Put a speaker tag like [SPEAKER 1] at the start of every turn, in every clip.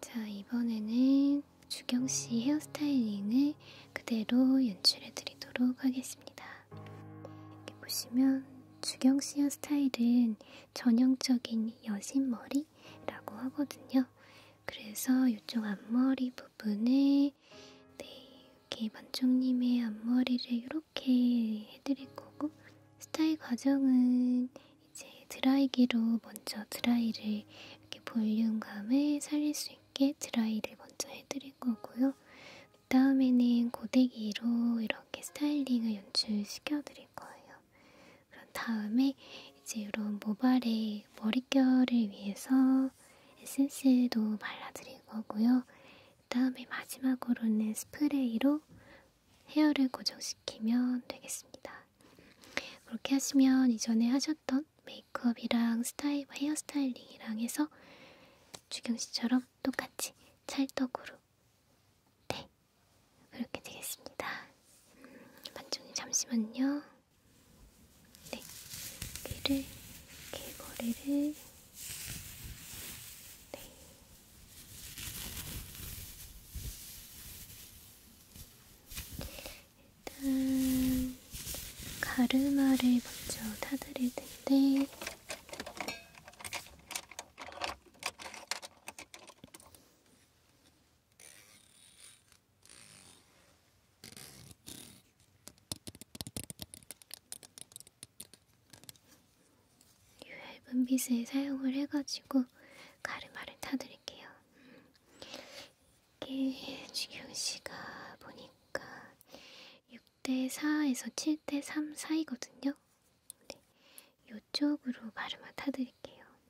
[SPEAKER 1] 자, 이번에는 주경씨 헤어스타일링을 그대로 연출해 드리도록 하겠습니다. 이렇게 보시면 주경씨 헤어스타일은 전형적인 여신머리라고 하거든요. 그래서 이쪽 앞머리 부분 부분에 네, 이렇게 만총님의 앞머리를 이렇게 해드릴 거고 스타일 과정은 이제 드라이기로 먼저 드라이를 이렇게 볼륨감을 살릴 수 있게 드라이를 먼저 해드릴 거고요. 그 다음에는 고데기로 이렇게 스타일링을 연출시켜 드릴 거예요. 그런 다음에 이제 이런 모발의 머릿결을 위해서 에센스도 발라드릴 거고요. 그 다음에 마지막으로는 스프레이로 헤어를 고정시키면 되겠습니다. 그렇게 하시면 이전에 하셨던 메이크업이랑 스타일, 헤어 스타일링이랑 해서 주경 씨처럼 똑같이 찰떡으로 네 그렇게 되겠습니다. 음, 반쪽님 잠시만요. 네, 귀를, 귀걸이를 네. 일단 가르마를 먼저 타드릴 텐데 이 얇은 빗을 사용을 해가지고 가르마를 타드릴게요. 이게 지경씨가 보니까 6대4에서 7대3 사이거든요. 네, 이쪽으로 가르마 타드릴게요.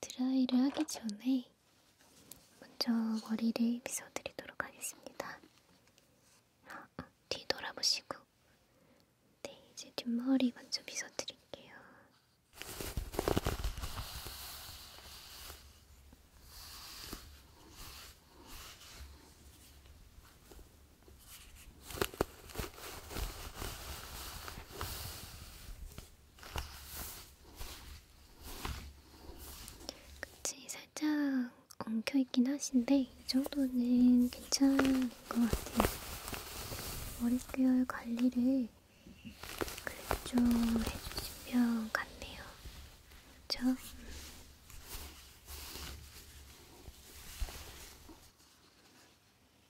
[SPEAKER 1] 드라이를 하기 전에 먼저 머리를 빗어드리도록 하겠습니다. 아, 아, 뒤돌아보시고 네, 이제 뒷머리 먼저 빗어드릴게요. 그치 살짝 엉켜 있긴 하신데 이 정도는 괜찮은 것 같아요. 머릿결 관리를 그래도 좀 해주시면 같네요. 그렇죠?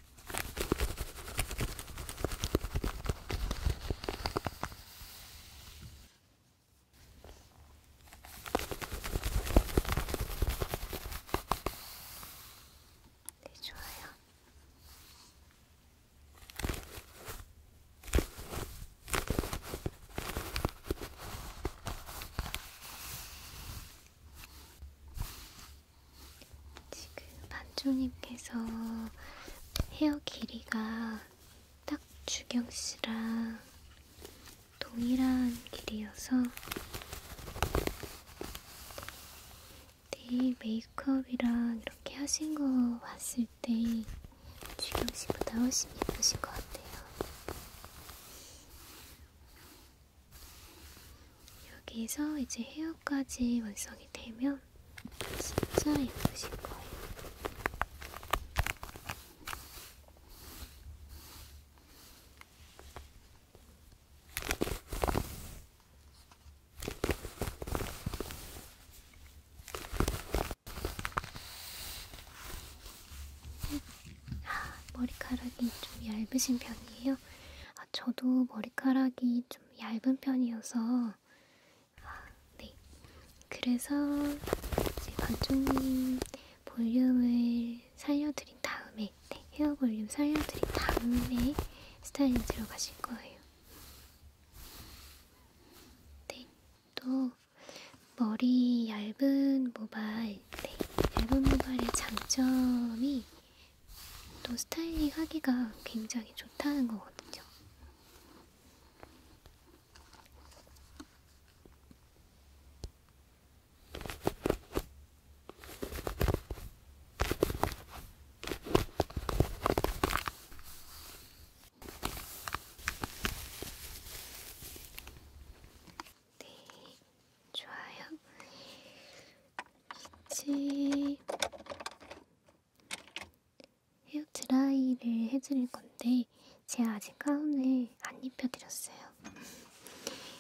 [SPEAKER 1] 네, 좋아요. 지금 반주님께서 헤어 길이가 딱 주경씨랑 동일한 길이여서 내일 네, 네, 메이크업이랑 이렇게 하신 거 봤을 때 주경씨보다 훨씬 예쁘신 것 같아요. 여기서 이제 헤어 컬러까지 완성이 되면 진짜 예쁘실 거예요. 아, 머리카락이 좀 얇으신 편이에요. 아, 저도 머리카락이 좀 얇은 편이어서 아, 네. 그래서 이제 반쪽님 볼륨을 살려드린 다음에 네, 헤어 볼륨 살려드린 다음에 스타일링 들어가실 거예요. 네, 또 머리 얇은 모발, 네, 얇은 모발의 장점이 또 스타일링 하기가 굉장히 좋다는 거거든요. 네, 좋아요. 이제 헤어 드라이를 해드릴 건데 제가 아직 가운을 안 입혀드렸어요.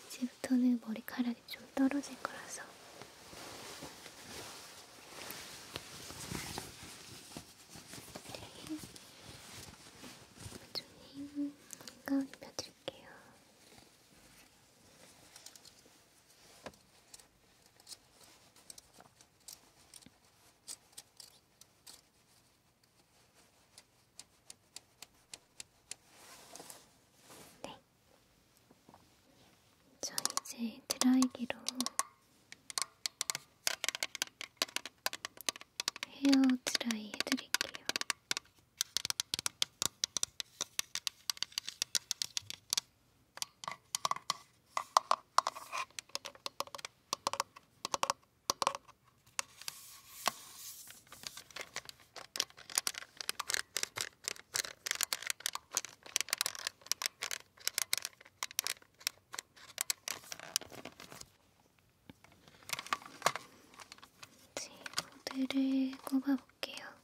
[SPEAKER 1] 이제부터는 머리카락이 좀 떨어질 거라서. 좀 네. 네 가운 입혀드릴게요. 네. 저 이제 드라이기로 헤어 드라이 해드릴게요. 이제 모드를 꼽아볼게요.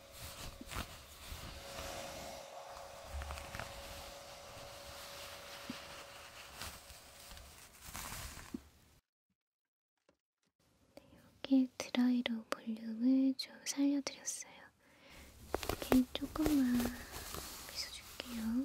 [SPEAKER 1] 이렇게 네, 드라이로 볼륨을 좀 살려드렸어요. 이렇게 조금만 빗어줄게요.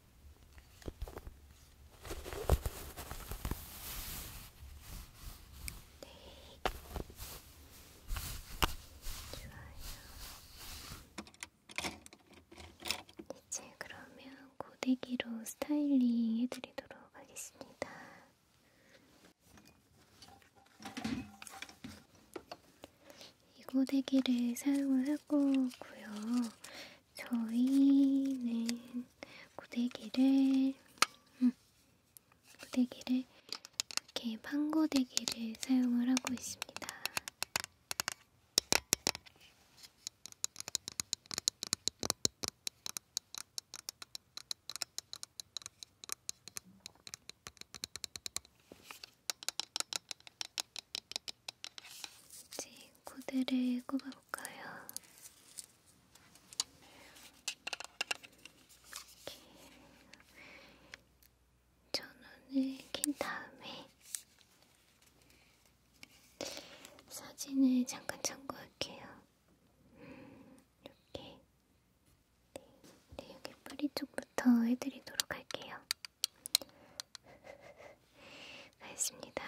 [SPEAKER 1] 네. 좋아요. 이제 네, 그러면 고데기로 스타일링 해드리도록 하겠습니다. 이 고데기를 사용을 하고 있고요. 저희는 고데기를 음, 고데기를 이렇게 판고데기를 사용을 하고 있습니다. 이제 코드를 꼽아볼까요? 이렇게 전원을 킨 다음에 사진을 잠깐 참고할게요. 음, 이렇게 네, 네, 여기 뿌리 쪽부터 해드리도록 할게요. 다 했습니다. 좋아요.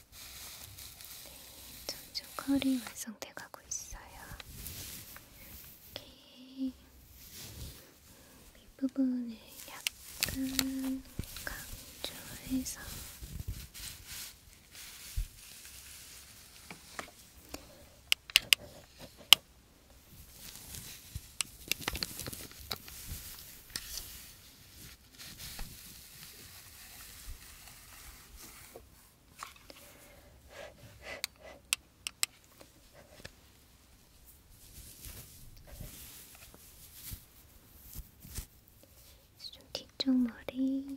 [SPEAKER 1] 네, 점점 컬이 완성돼 가고 있어요. 이렇게 윗부분을 약간 강조해서 좀 뒤쪽 머리 네.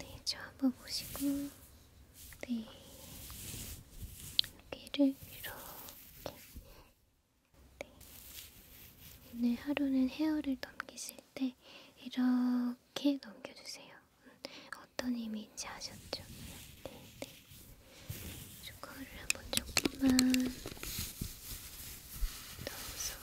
[SPEAKER 1] 네, 저 한번 보시고, 네, 여기를 이렇게. 네. 오늘 하루는 헤어를 넘기실 때 이렇게 넘겨주세요. 음, 어떤 의미인지 아셨죠? 네, 네. 조커를 한번 조금만 Those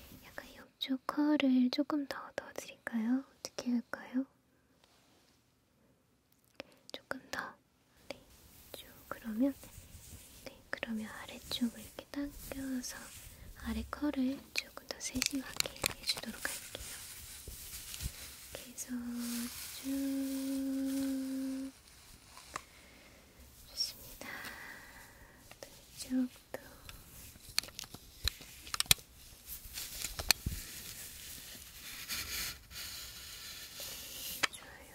[SPEAKER 1] 네, 약간 옆쪽 컬을 조금 더 넣어드릴까요? 어떻게 할까요? 조금 더, 네, 쭉 그러면, 네, 그러면 아래쪽을 이렇게 당겨서 아래 컬을 쭉 조금 더 세심하게 해주도록 할게요. 계속 쭉 좋습니다. 이쪽도 네, 좋아요.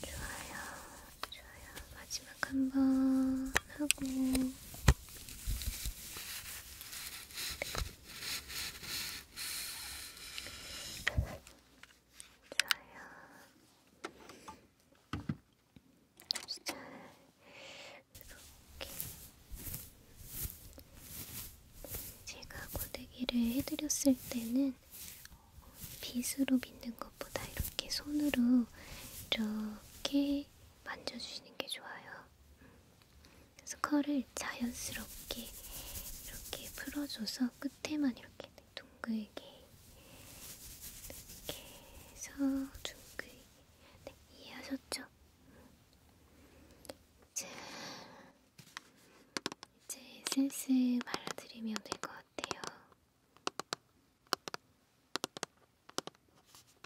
[SPEAKER 1] 좋아요, 좋아요. 마지막 한 번 하고. 저요. 잘 이렇게 제가 고데기를 해드렸을 때는 빗으로 빗는 것보다 이렇게 손으로 이렇게 만져주시는 게 좋아요. 그래서 컬을 자연스럽게 이렇게 풀어줘서 끝에만 이렇게 둥글게 이렇게 해서 둥글게 네, 이해하셨죠? 이제, 이제 슬슬 발라드리면 될 것 같아요.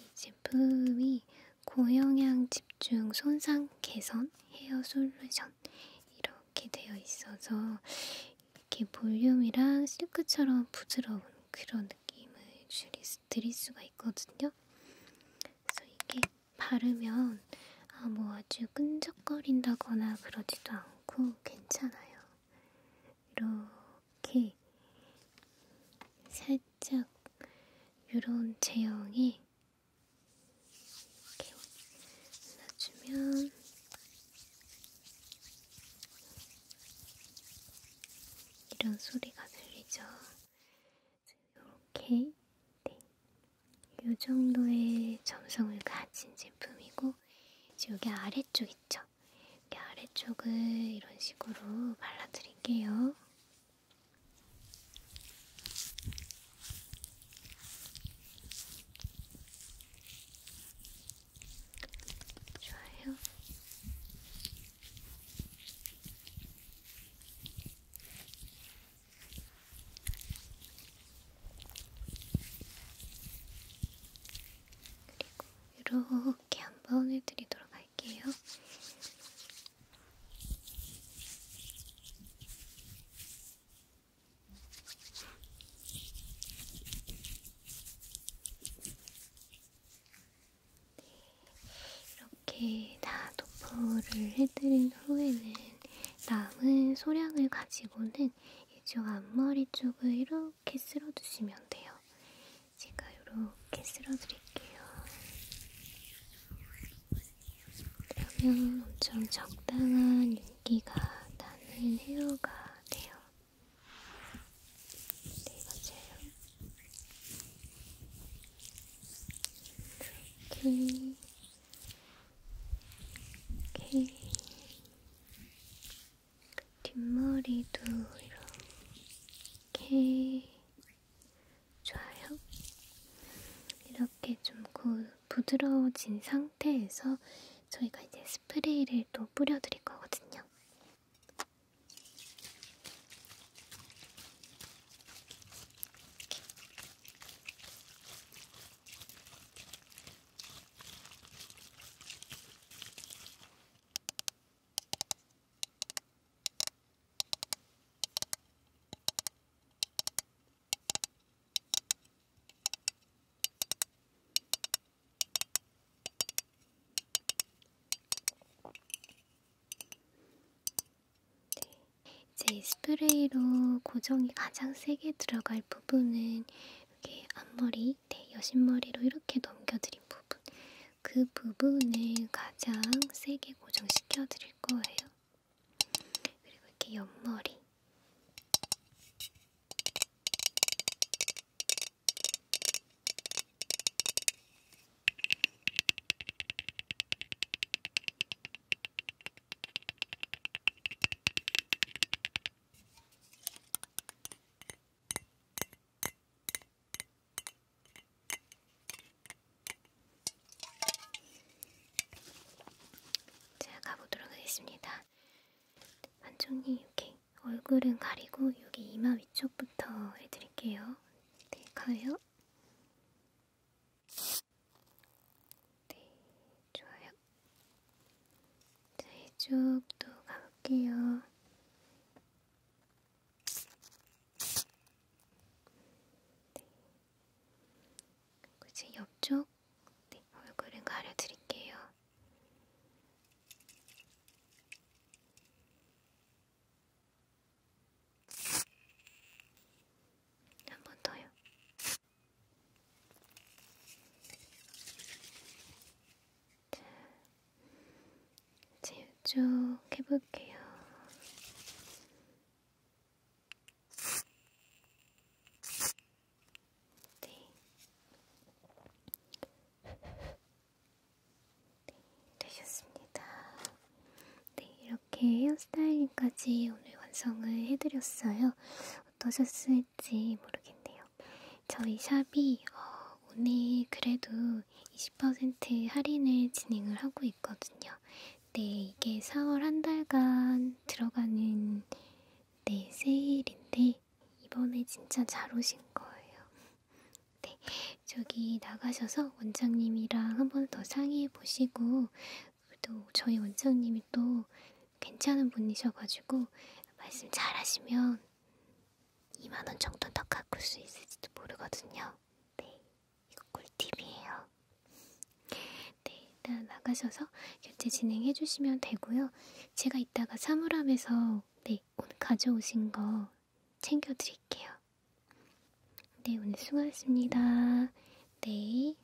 [SPEAKER 1] 이 제품이 고영양 집중 손상 개선 헤어 솔루션 이렇게 되어 있어서 이렇게 볼륨이랑 실크처럼 부드러운 그런 느낌을 줄이 드릴 수가 있거든요. 그래서 이게 바르면 아 뭐 아주 끈적거린다거나 그러지도 않고 괜찮아요. 이렇게 살짝 이런 제형에 이렇게 올려주면 이런 소리가 들리죠. 이렇게 네. 이 정도의 점성을 가진 제품이고 여기 아래쪽 있죠? 이 아래쪽을 이런 식으로 발라드릴게요. 좋아요. 그리고 이렇게 한번 해드리도록 할게요. 이렇게 다 도포를 해드린 후에는 남은 소량을 가지고는 때는 이쪽 앞머리 쪽을 이렇게 쓸어주시면 돼요. 제가 이렇게 쓸어드릴게요. 그러면 엄청 적당한 윤기가 나는 헤어가 돼요. 네, 맞아요. 이렇게. 이렇게. 뒷머리도 이렇게 좋아요. 이렇게 좀 부드러워진 상태에서 저희가 이제 스프레이를 또 뿌려드릴 거거든요. 이제 네, 스프레이로 고정이 가장 세게 들어갈 부분은 여기 앞머리, 네, 여신머리로 이렇게 넘겨드린 부분 그 부분을 가장 세게 고정시켜 드릴 거예요. 그리고 이렇게 옆머리 제가 가보도록 하겠습니다. 반쪽님 이렇게 얼굴은 가리고 여기 이마 위쪽부터 해드릴게요. 네, 가요. 네, 좋아요. 자, 네, 이쪽도 가볼게요. 네. 이제 옆쪽 네, 얼굴은 가려드릴게요. 한 번 더요. 이제 이쪽 해볼게요. 네. 네, 되셨습니다. 네, 이렇게 헤어스타일링까지 오늘 완성을 해드렸어요. 어떠셨을지 모르겠네요. 저희 샵이 어, 오늘 그래도 20% 할인을 진행을 하고 있거든요. 네, 이게 4월 한 달간 들어가는 네, 세일인데 이번에 진짜 잘 오신 거예요. 네, 저기 나가셔서 원장님이랑 한번 더 상의해 보시고 또 저희 원장님이 또 괜찮은 분이셔가지고 말씀 잘하시면 2만원 정도 더 깎을 수 있을지도 모르거든요. 네, 이거 꿀팁이에요. 네, 일단 나가셔서 결제 진행해 주시면 되고요. 제가 이따가 사물함에서 네, 오늘 가져오신 거 챙겨드릴게요. 네, 오늘 수고하셨습니다. 네.